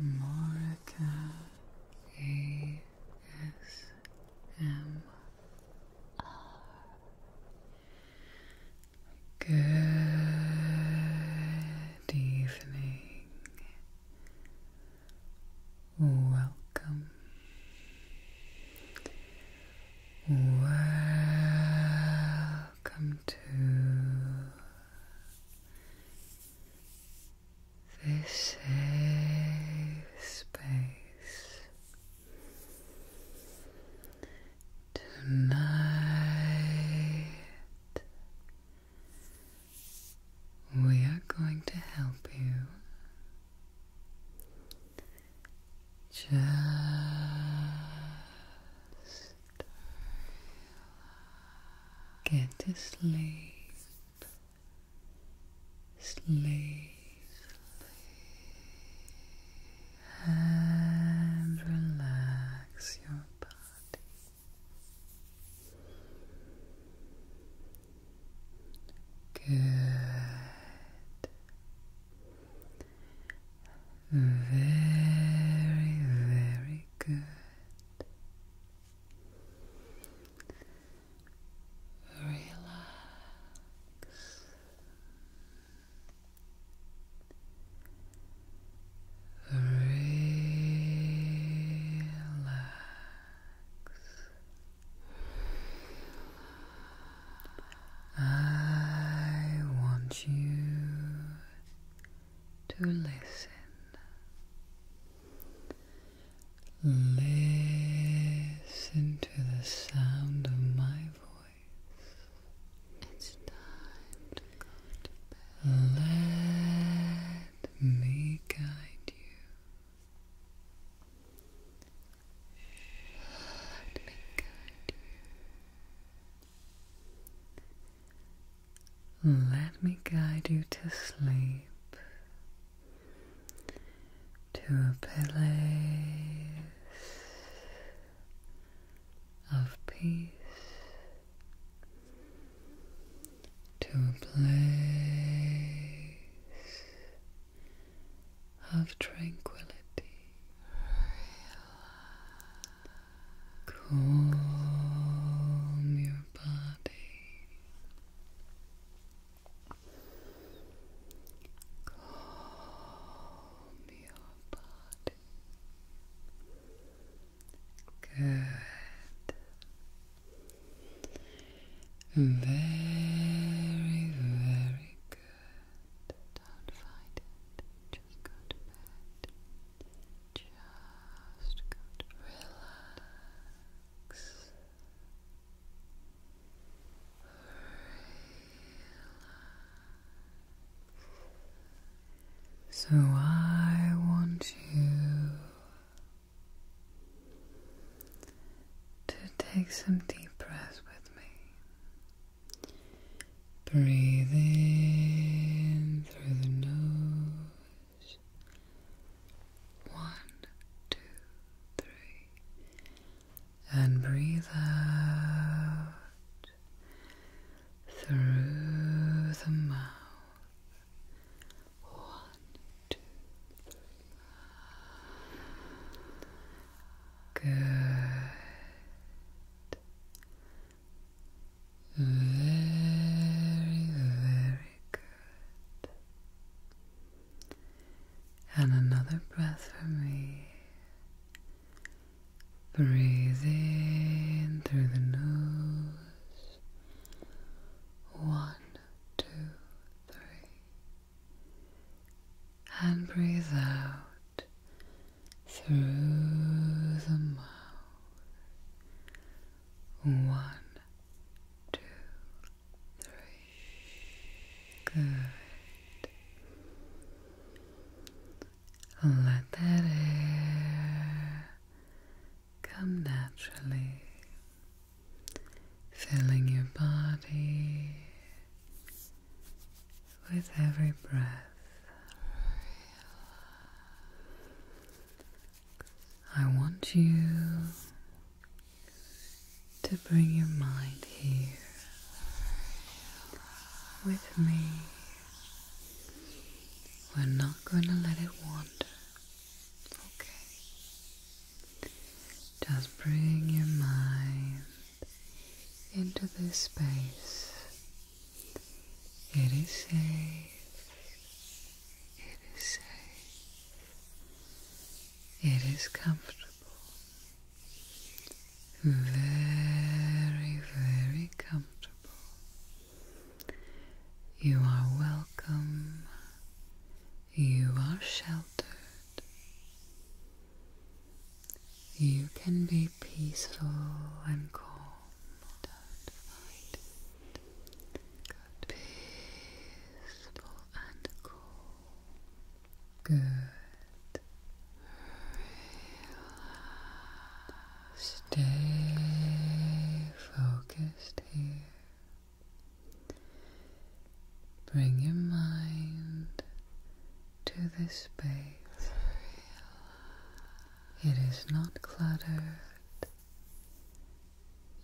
Morika Good evening. Welcome. Welcome to this safe space tonight. We are going to help you just Get to sleep. Sleep. And relax your body. Good. Very, very good. Relax. Relax. I want you to listen. Listen to the sound of my voice. It's time to Let me guide you. Let me guide you. Let me guide you to sleep, to a place of peace, to a place of tranquility. Calm your body. Calm your body. Good. Very, very good. Don't fight it. Just go to bed. Just good. Relax. So I want you to take some deep breaths with me. Breathe in through the nose. One, two, three. And breathe out through the mouth. One, two, three. Good. Very, very good. And another breath for me. Breathe in through the nose. One, two, three. And breathe out through the mouth. One, two, three. Good. Let that air come naturally, filling your body with every breath. I want you to bring your mind here with me. We're not going to let it wander. Okay. Just bring your mind into this space. It is safe. It is safe. It is comfortable. Very, very comfortable. You are welcome. You are sheltered. You can be peaceful and calm. Don't Peaceful and cool. Good. Relax. Stay focused here. Bring your mind to this space. It is not cluttered.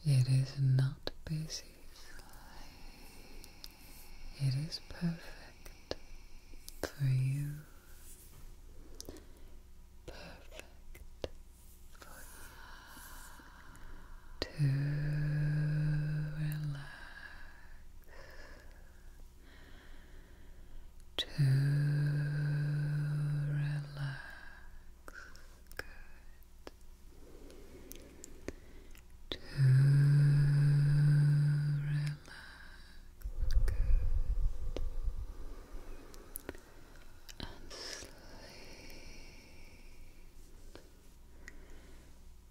It is not busy. It is perfect for you. Perfect for you to relax. To relax. To relax. Good. And sleep.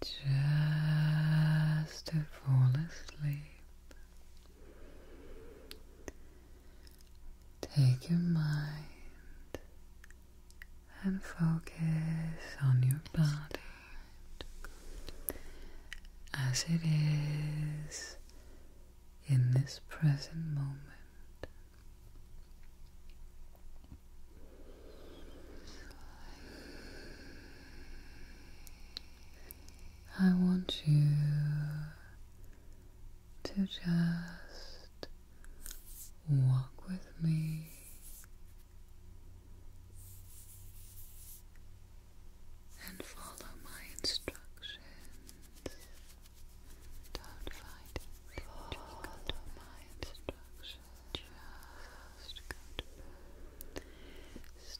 Just to fall asleep. Take your mind and focus on your body as it is in this present moment. I want you to just walk with me and follow my instructions. Don't fight it. Follow my instructions. Just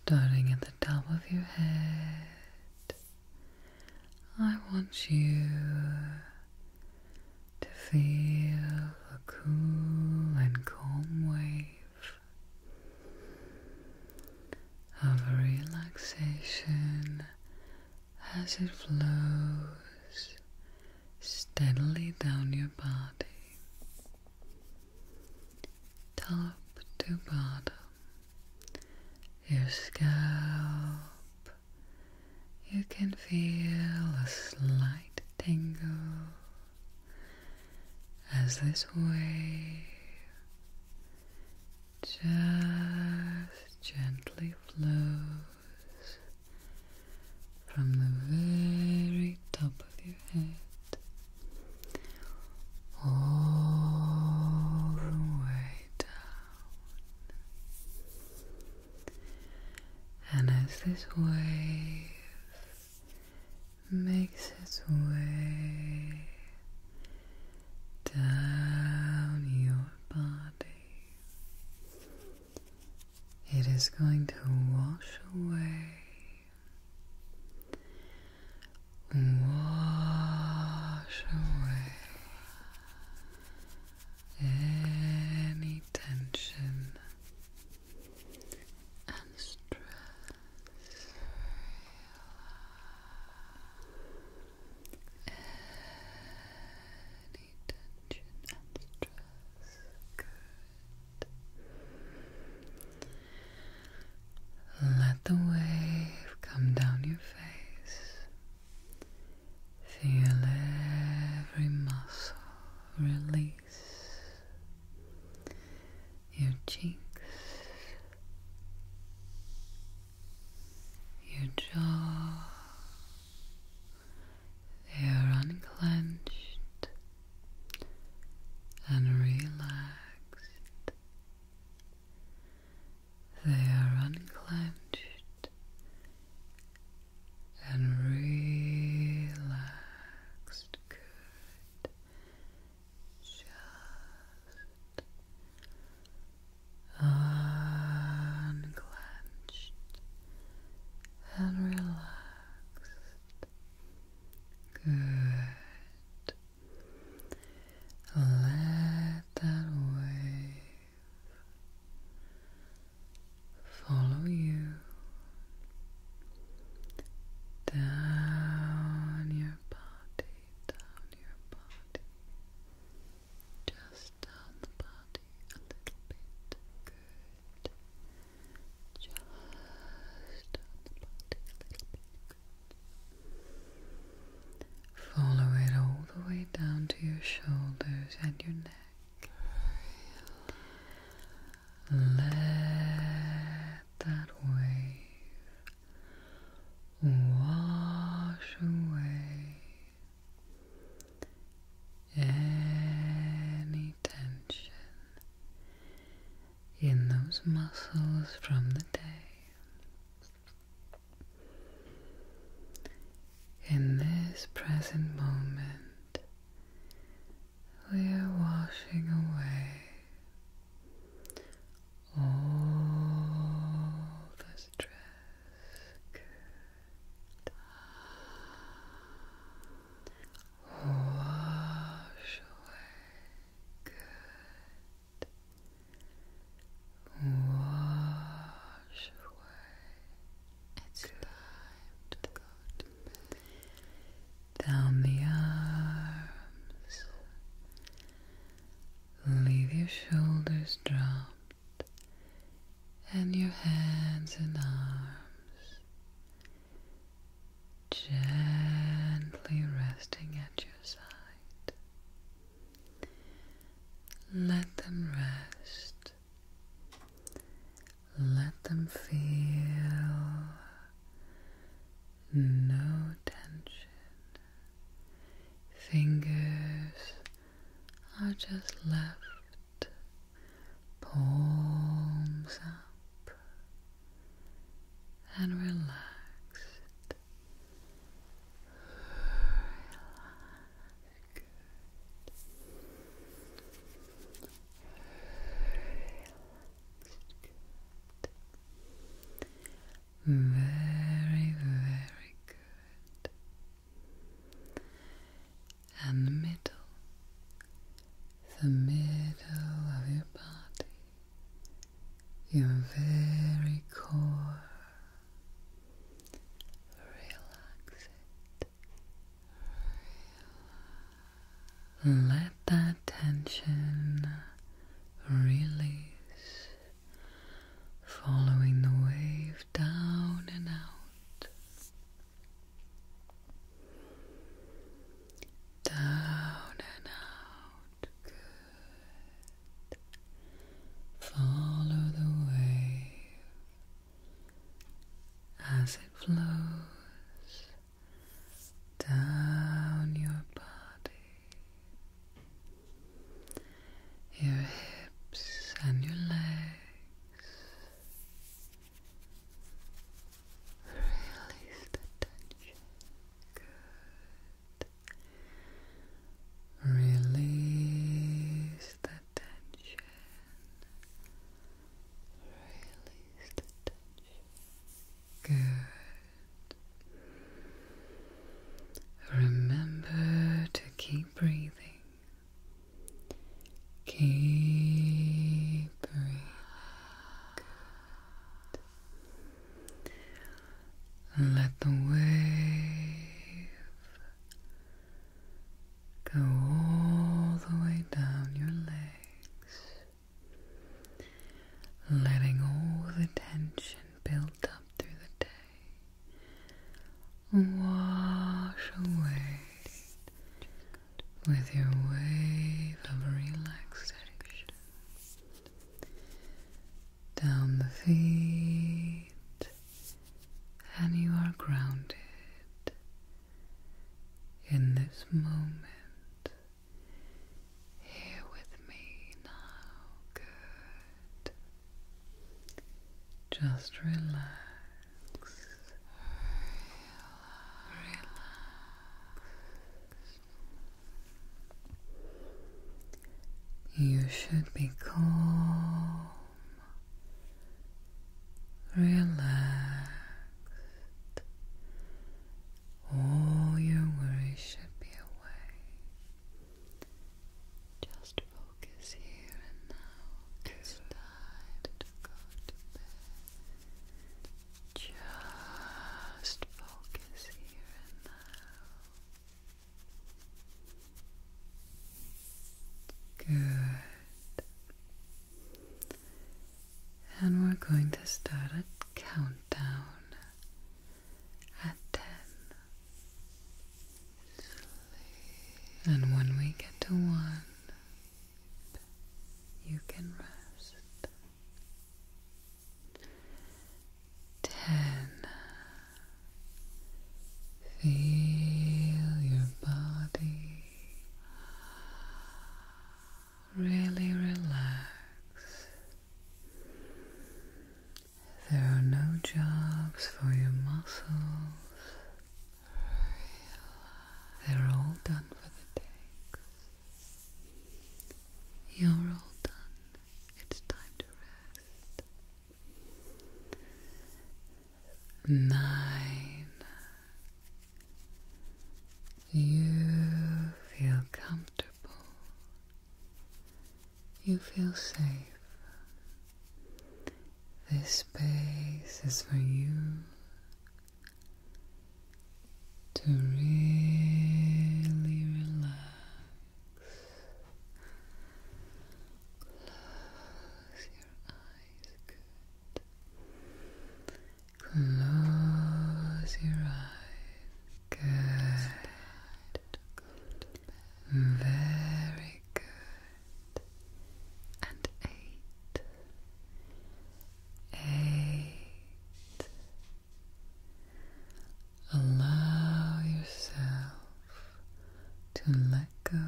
Starting at the top of your head. I want you to feel a cool and calm wave of relaxation as it flows steadily down your body, top to bottom, your scalp you can feel a slight tingle as this wave just gently flows from the very top of your head all the way down and as this wave makes its way down your body, it is going to wash away. Wash away any tension and stress. Any tension and stress. Let the wave come down your face. Feel every muscle release your cheeks, your jaw, they are unclenched and relaxed. They are unclenched and relaxed. Good. Just unclenched and relaxed. Good. Let that weight follow you down your body, down your body, just down the body a little bit. Just down the body a little bit. Follow it all the way down to your shoulders and your neck. Let that wave wash away any tension in those muscles from the day. In this present moment, we are washing away all the stress. Wash away. Good. Wash away. It's time to go Down the arms. Leave your shoulders dropped and your hands and arms gently resting at your side. Let them rest let them feel no tension. Fingers are just left, palms up, and relaxed. Very, very good. And the middle, the middle of your body, your very core. Relax it. Let that tension release, following the wave down and out. Down and out. Good. Follow the wave as it flows down your body, your hips and your legs. Release the tension. Good. Release the Release the tension. Good. Remember to keep breathing. Keep breathing. Let the wave Go all the way down your legs, letting all the tension built up through the day wash away with your wave of relaxation down the feet and you are grounded in this moment here with me now. Good. Just relax. relax. You should be calm Relax. All your worries should be away. Just focus here and now. Just focus here and now. Good. And we're going to start a countdown at 10. And when we get to 1, you can rest. 10. Feel your body really relax. There are no jobs for your muscles. They're all done for the takes. You're all done. It's time to rest. Nine. You feel comfortable. You feel safe. This space is for you to really relax. Close your eyes. Good. Close your eyes. Good. Very good. And eight. Eight. Allow yourself to let go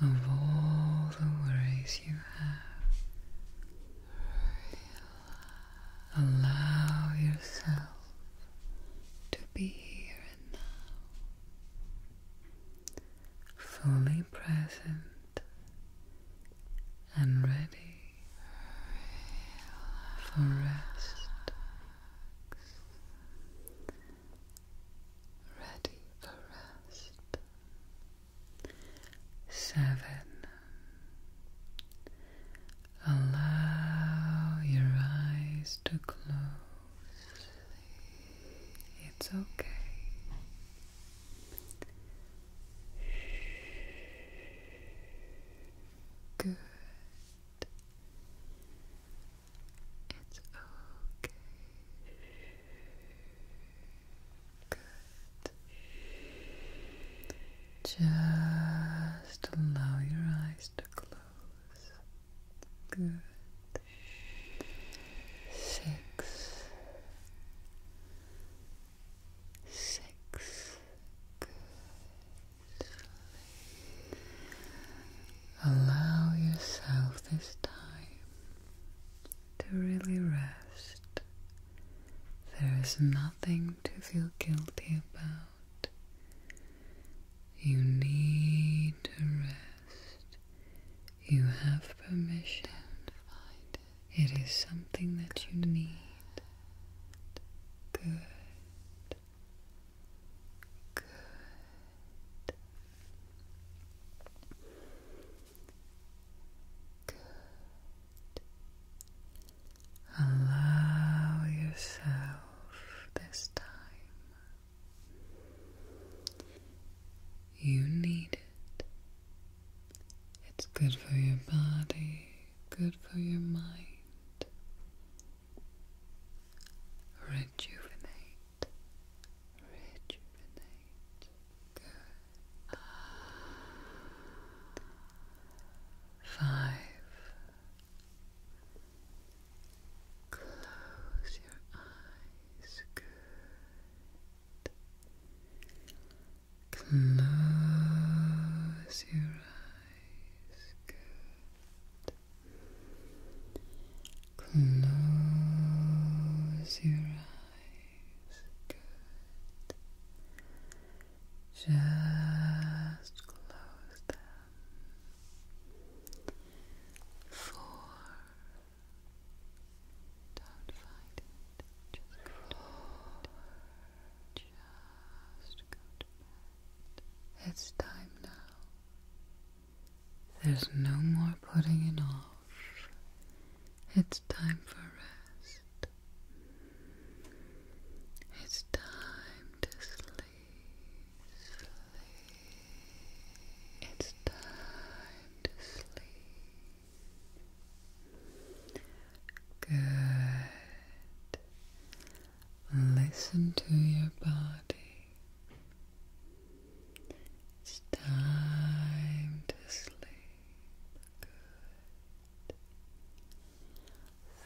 of all the worries you have. Allow yourself to be here and now, fully present and ready for rest ready for rest. Seven. Allow your eyes to close. It's okay. Good. It's okay. Good. Just allow your eyes to close. Good. Six. Six. Good. Allow yourself this time to really rest. There is nothing to feel guilty about. You need to rest. You have permission. It is something that you need. Good. Good. Good. Allow yourself this time. You need it. It's good for your body, good for your mind, Rejuvenate. Rejuvenate. Good. Five. Close your eyes. Good. Close your eyes. Good. Close your eyes. Good. Just close them. Four. Don't fight it. Just go Just go to bed. It's time now. There's no more putting it off. It's time for rest. It's time to sleep. Sleep. It's time to sleep. Good. Listen to your body. It's time to sleep. Good.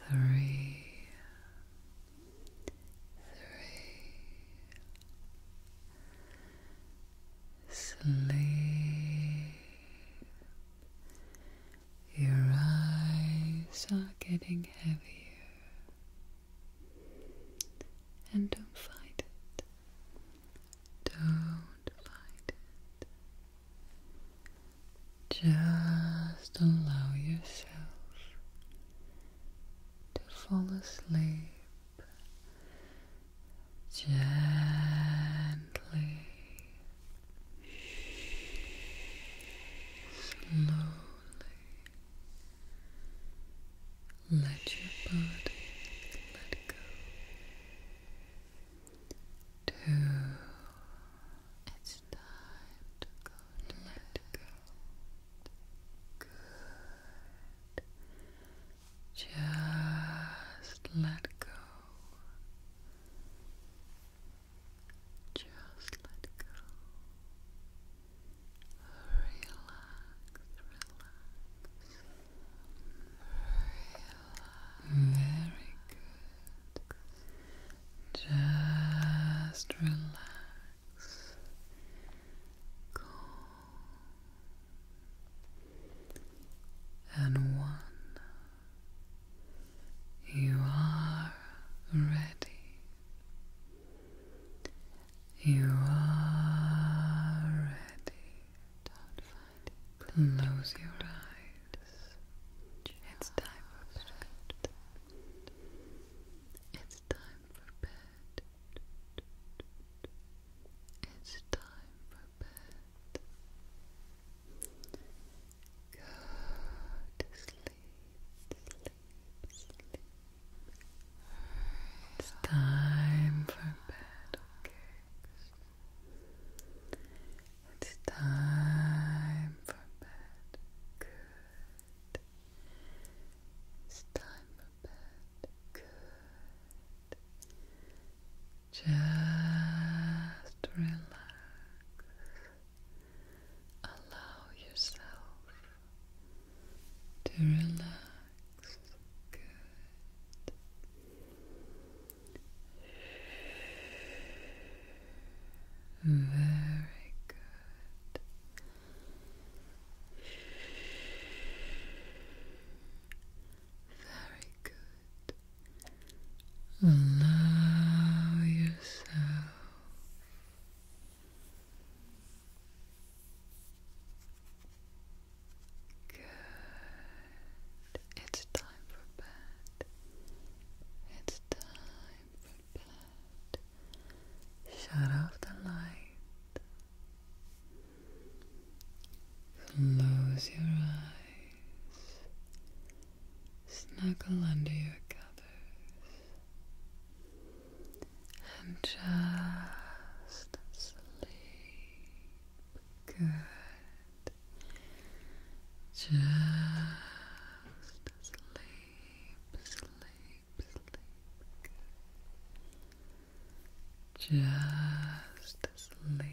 Three. Three. Sleep. Your eyes are getting heavier. And don't fight it. Don't fight it. Just allow yourself to fall asleep gently, slowly. Let your body let go. It's time to go let go. Good. Just let go. Just let go relax. Very good. Just relax. Calm. And one, you are ready. You are ready. Close your eyes. It's time for bed. It's time for bed. It's time for bed. Go to Sleep. It's time for bed, okay? It's time for bed, good. It's time for bed, good. Just relax. Allow yourself to relax. Very good. Very good. Allow yourself Good. It's time for bed. It's time for bed. Shut off the light. Close your eyes. Snuggle under your covers and just sleep. Good. Just sleep, sleep, sleep. Just sleep.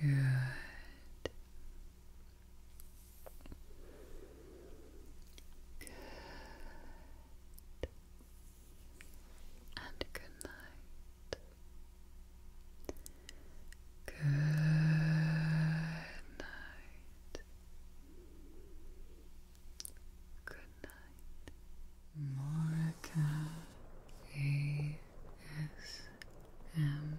Good. Good. And good night. Good night. Good night. Morika ASMR